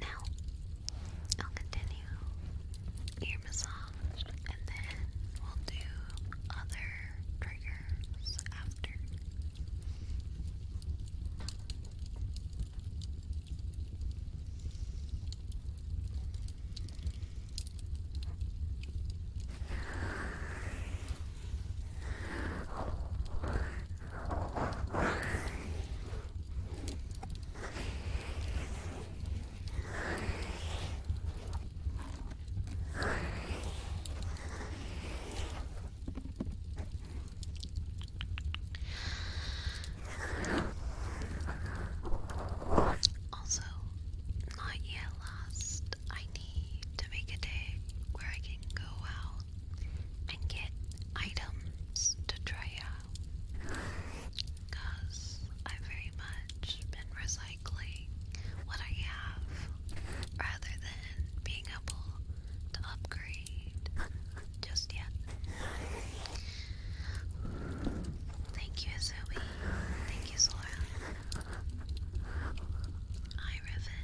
Now, I'll continue ear massage and then we'll do other triggers after. Also, not yet last, I to make a day where I can go out and get items to try out. Because I've very much been recycling what I have rather than being able to upgrade just yet. Thank you, Zoe. Thank you, Sora. Hi, Riven.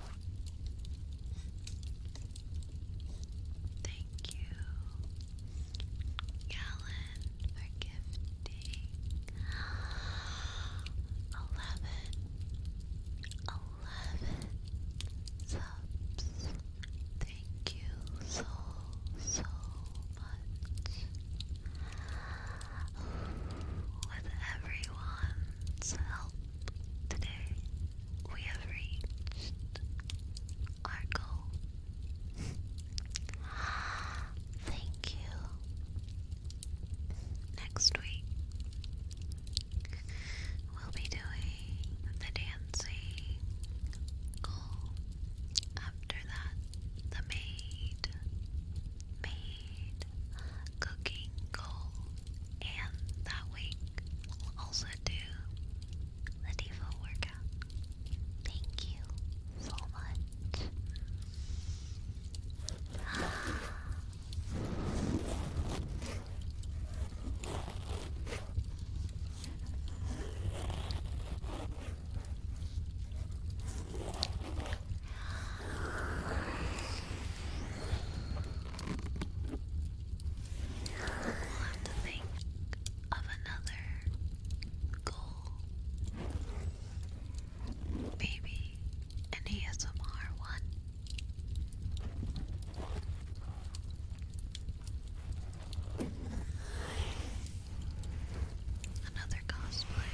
Thank you, Galen, for gifting eleven, eleven subs. Thank you so, so much. With everyone's help today we have reached our goal. Thank you. Next week, we'll be doing the dancing goal. After that, the maid. Maid cooking goal and that week we'll also do the Diva workout. Thank you so much. We'll have of another goal. Maybe an ASMR one. Another cosplay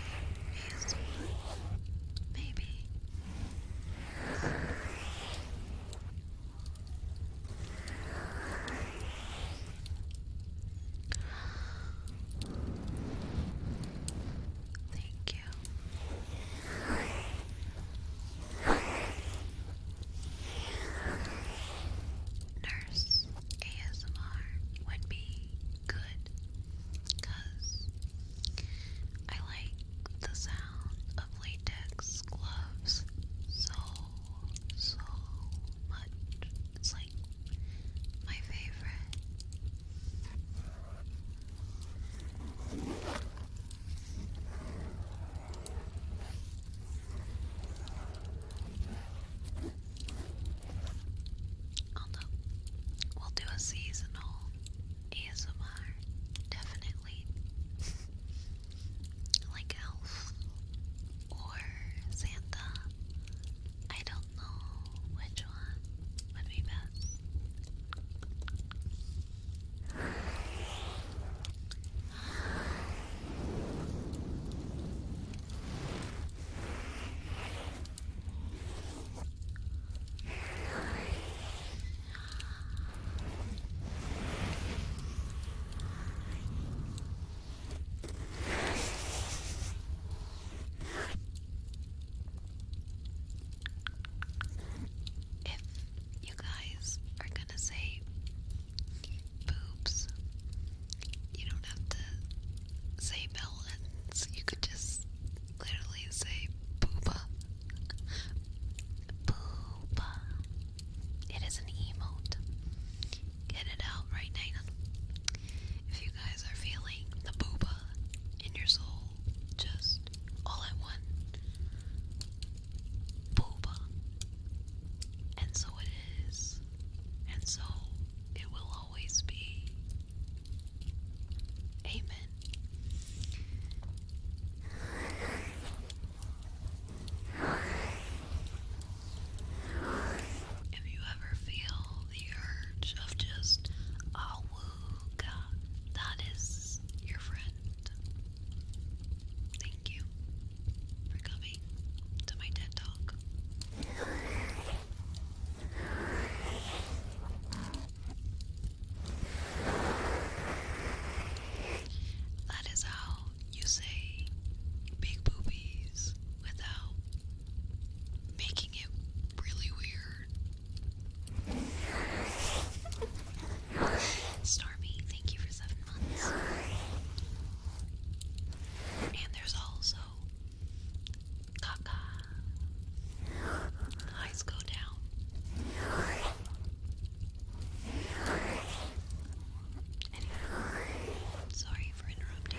ASMR. Maybe. Thank you. Nurse ASMR would be good because I like the sound of latex gloves so, so much. It's like my favorite. Although we'll do a seasonal ASMR, definitely. like Elf or Santa. I don't know which one would be best. If you guys are going to say boobs, you don't have to say melons. You could just literally say booba. Booba. It is an emote. Get it out right now. If you guys are feeling the booba in your soul, just all at one. Booba. And so it is. And so it will always be. Amen. If you ever feel the urge of just oh that is your friend. Thank you for coming to my TED Talk. That is how you say big boobies without making it really weird. Stormy, thank you for seven months. And there's also Caca. Eyes go down. sorry for interrupting.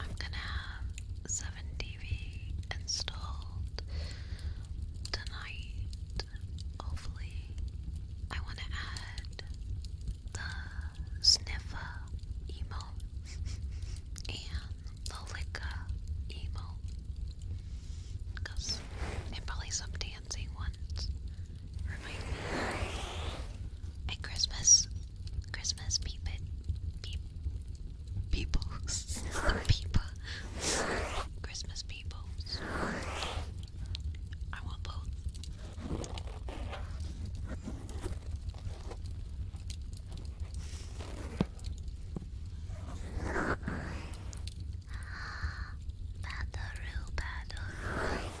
I'm gonna have 7TV installed tonight. Hopefully, I want to add the sniffer emote and the liquor emote because they probably some dancing ones at Christmas, Christmas people, people, Christmas people. I want both. Battle, battle.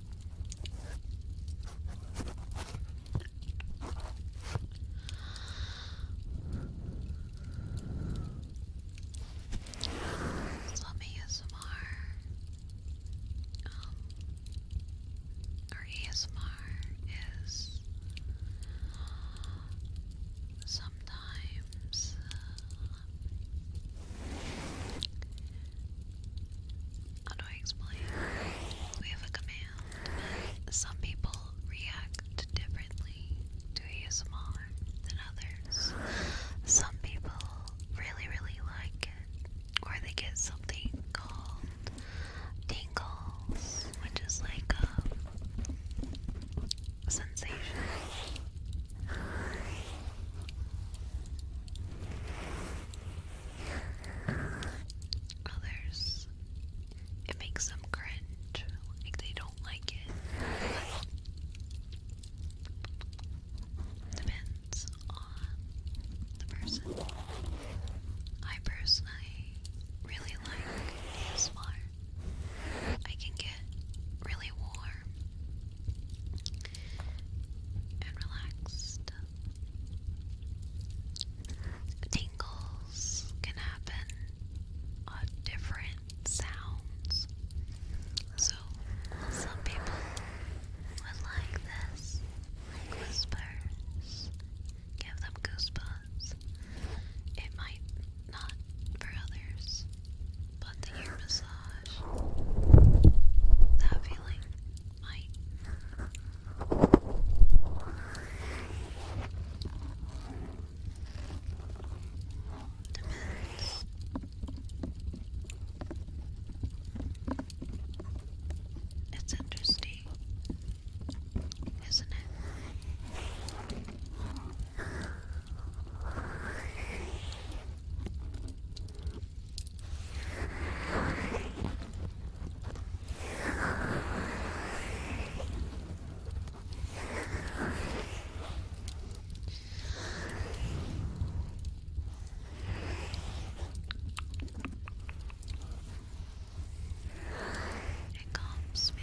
Some ASMR, um, or ASMR is sometimes uh, how do I explain? We have a command, some people react differently to ASMR than others. Some people really, really like it, or they get something called tingles, which is like a um, sensation. Others, it makes them cringe, like they don't like it. depends on the person. I personally really like ASMR. I can get really warm and relaxed. Tingles can happen on different sounds. So, some people would like this, whispers, give them goosebumps. It might not for others but the ear massage, that feeling might. Depends. It's interesting, isn't it? It calms me.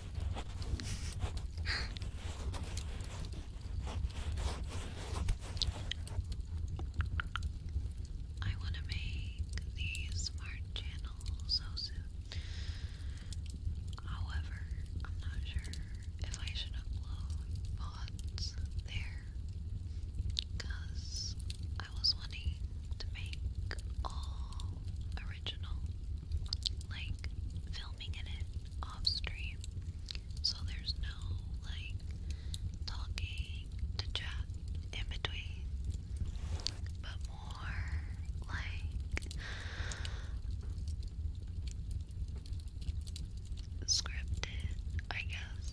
I want to make the smart channel so soon. However, I'm not sure if I should upload mods there because I was wanting to make all original like filming in it off stream. So there's no like talking to chat in between, but more like scripted, I guess.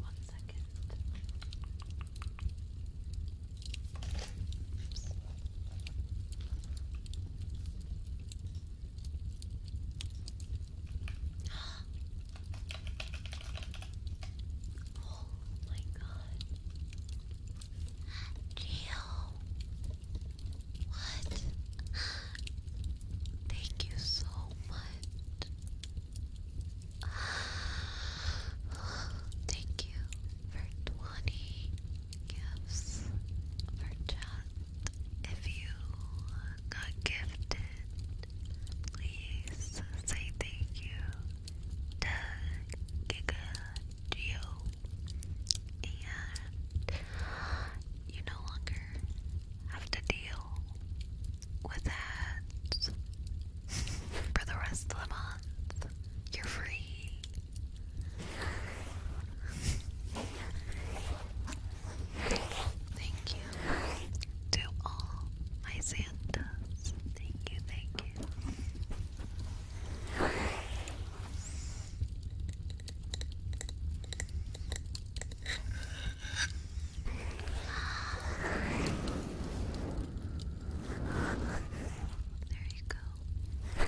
One second. Oops. Oh my god. Geo. What? Thank you so much. Thank you for 20 gifts for chat. If you got gifted, please say thank you to Giga you and you no longer have to deal with that for the rest of the month. You're free. Thank you to all my Santas. Thank you, thank you. There you go. Oh,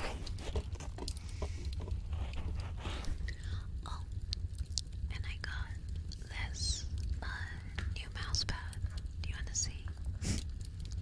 and I got this uh, new mouse Do you want to see?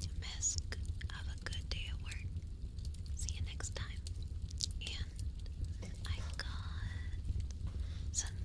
you missed, have a good day at work. See you next time. And I got some